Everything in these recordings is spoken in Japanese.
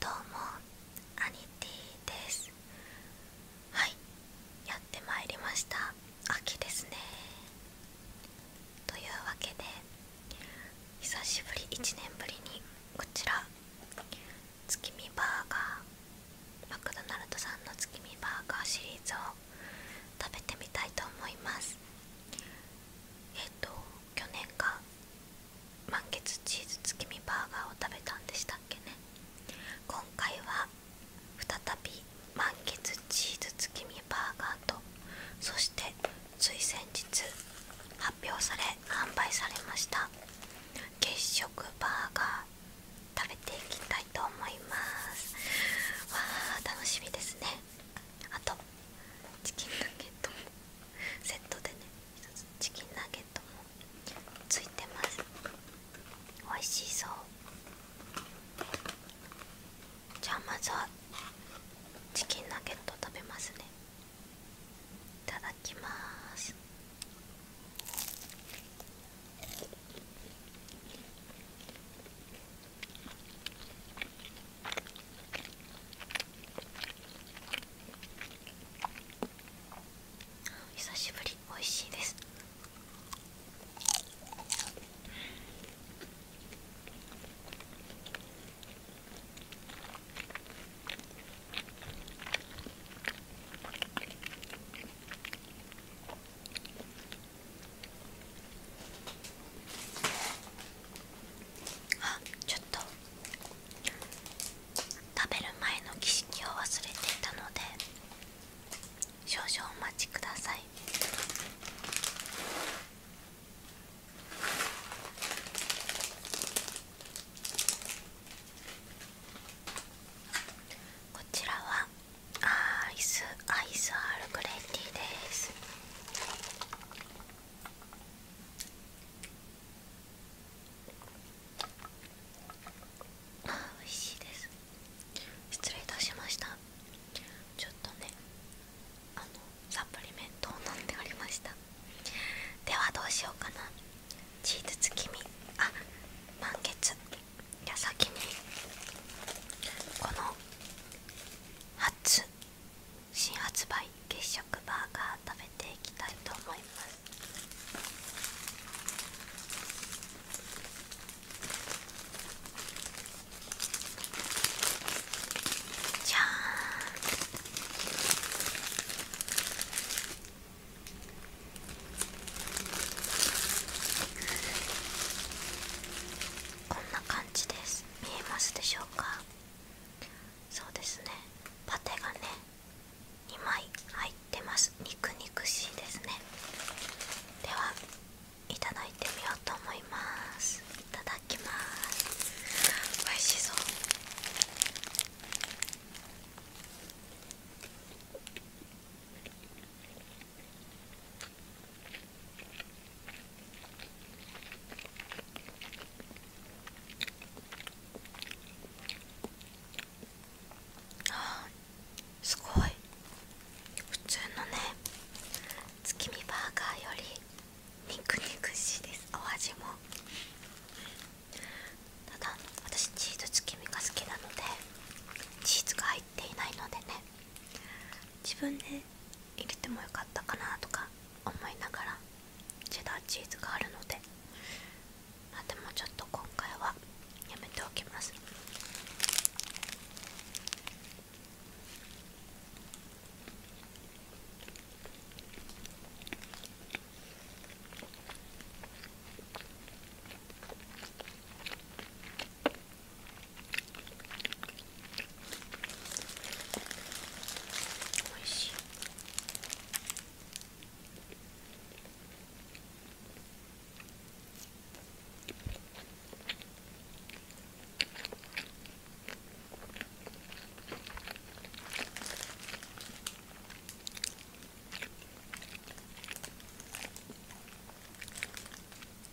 どうもアニティですはいやってまいりました秋ですねというわけで久しぶり1年ぶりにこちら月見バーガーマクドナルドさんの月見バーガーシリーズを食べてみたいと思いますえっ、と去年が満月チーズ月見バーガーを食べたんでしたっけね今回は再び満月チーズ月見バーガーとそしてつい先日発表され販売されました月食バーガー食べていきたいと思いますわー楽しみですねあとチキンナゲッセットでね一つチキンナゲットもついてます美味しそうじゃあまずはチキンナゲット食べますねいただきます久しぶり美味しいですあちょっと食べる前の儀式を忘れていたので少々お待ちくださいこちらはアイスアイスアールグレイティーですあ美味しいです失礼いたしましたちょっとねあのサプリメントを飲んでおりましたではどうしようかなチーズ月見あ満月じゃ先にこの初新発売月食バーガー食べていきたいと思いますこんな感じです見えますでしょうかそうですねパテがね2枚入ってます肉肉しいですねではいただいてみようと思いますいただきます美味しそううあすごい普通のね月見バーガーより肉肉しいですお味もただ私チーズ月見が好きなのでチーズが入っていないのでね自分で入れてもよかったかなとか思いながらチェダーチーズがあるのであでもちょっと今回はやめておきますおいしい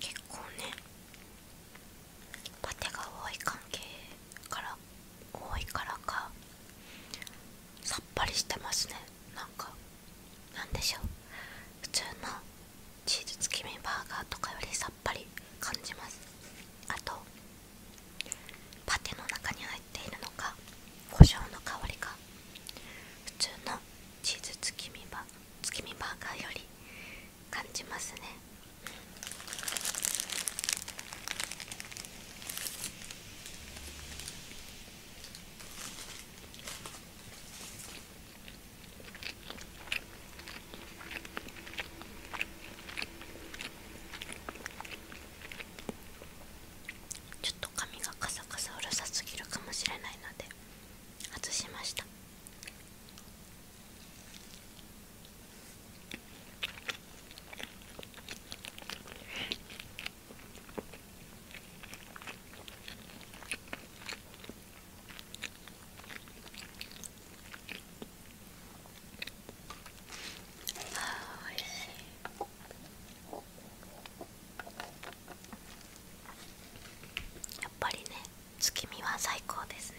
結構ねパテが多い関係から多いからかさっぱりしてますねなんかなんでしょう普通のチーズ月見バーガーとかよりさっぱり感じますあとパテの中に入っているのか胡椒の香りが普通のチーズ月見バーガーより感じますねちょっと髪がカサカサうるさすぎるかもしれないので外しました。あおいしやっぱりね月見は最高ですね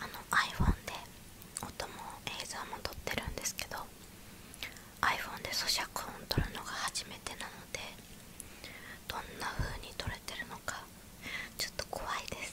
あの iPhone で音も映像も撮ってるんですけど iPhone で咀嚼音を撮るのが初めてなのでどんな風に撮れてるのかちょっと怖いです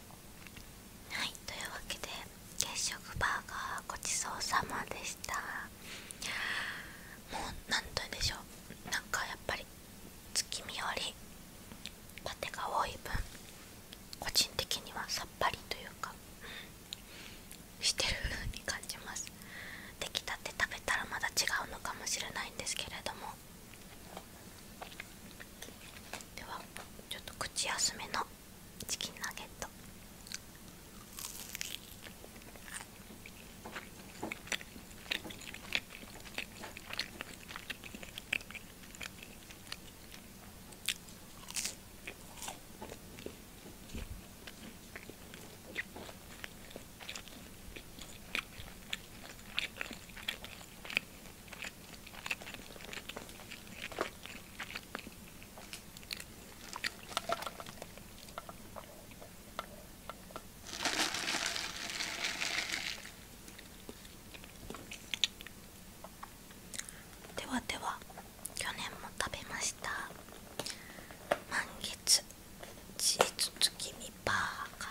はいというわけで月食バーガーごちそうさまでしたもう何と言うんでしょうなんかやっぱり月見よりパテが多い分個人的にはさっぱりというか、してる風に感じます出来たて食べたらまだ違うのかもしれないんですけれどもではちょっと口休めのチキンナゲットではでは去年も食べました満月チー月にバーガ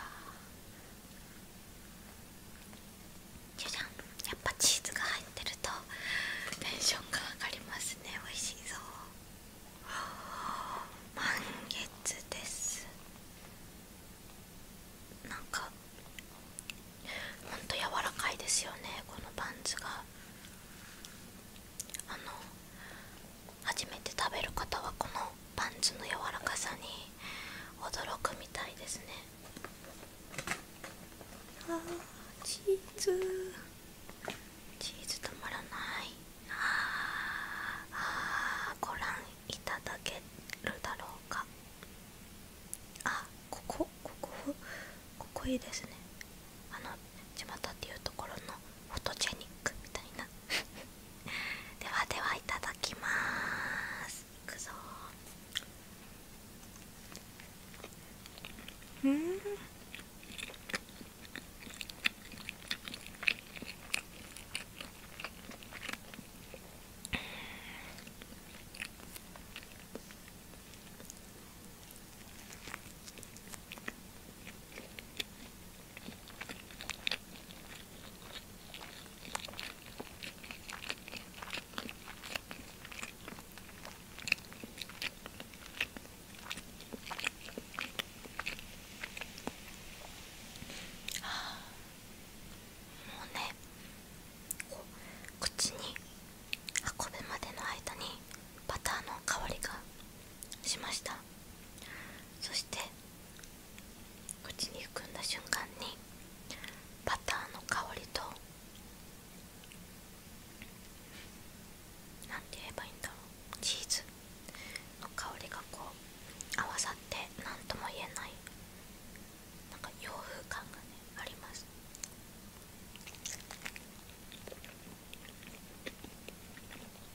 じゃじゃんやっぱチーズが入ってるとテンションが上がりますね美味しいぞ満月ですなんかほんと柔らかいですよねこのパンツがあの初めて食べる方はこのパンツの柔らかさに驚くみたいですねあーチーズチーズ止まらないああご覧いただけるだろうかあここここここいいですねあの巷っていうところのフォトジェニックみたいな ではではいただきますいくぞーうんうあもうねこう口に運ぶまでの間にバターの香りがしましたそして口に含んだ瞬間にバターの香りとなんて言えばいいんだろうチーズの香りがこう合わさって何とも言えないなんか洋風感がねあります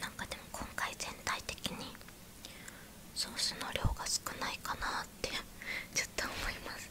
なんかでも今回全体的にソースの量が少ないかなってちょっと思います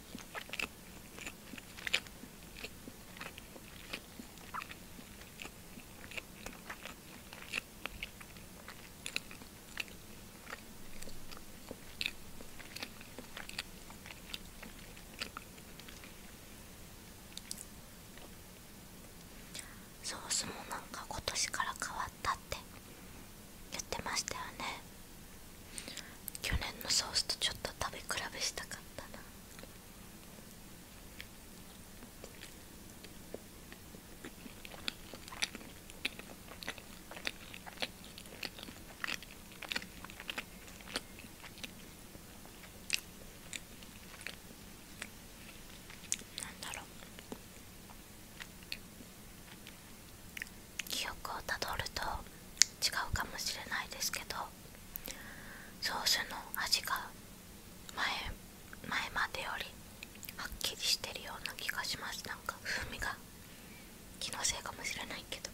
ソースもなんか今年から変わったって言ってましたよね去年のソースとちょっと食べ比べしたかったななんだろう記憶をたどると違うかもしれないですけどソースの味が前前までよりはっきりしてるような気がしますなんか風味が気のせいかもしれないけど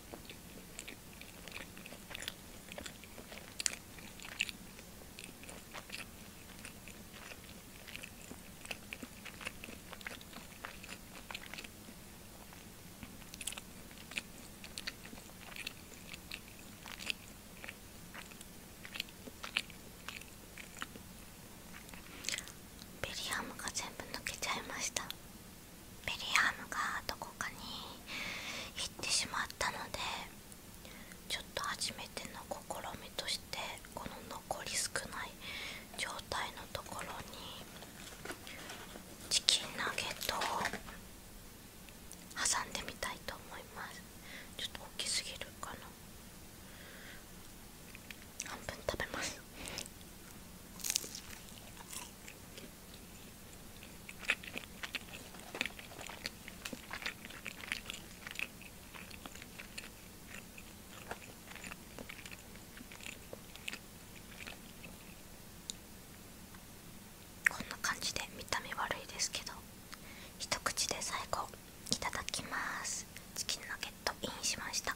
ベリアムが全部抜けちゃいましたベリアムがどこかに行ってしまったのでちょっと初めての試みとしてこの残り少ない状態のところにチキンナゲットを挟んでみたいと思いますちょっと大きすぎるかな半分食べますこんな感じで見た目悪いですけど一口で最後いただきますチキンナゲインしました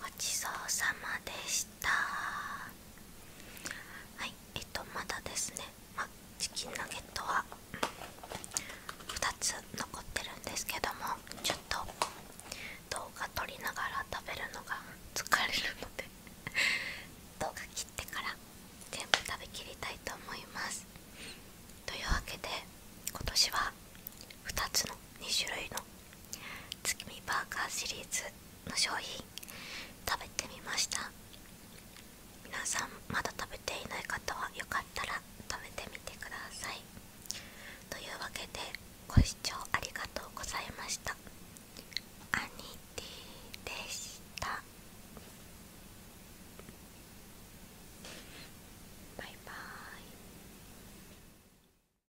ごちそうさまでした。はいえっとまだですねまチキンナゲットは2つ残ってるんですけどもちょっと動画撮りながら食べるのが疲れるので 動画切ってから全部食べきりたいと思いますというわけで今年は2つの2種類の月見バーガーシリーズの商品食べてみました皆さんまだ食べていない方はよかったら食べてみてくださいというわけでご視聴ありがとうございましたアニティでしたバイバーイ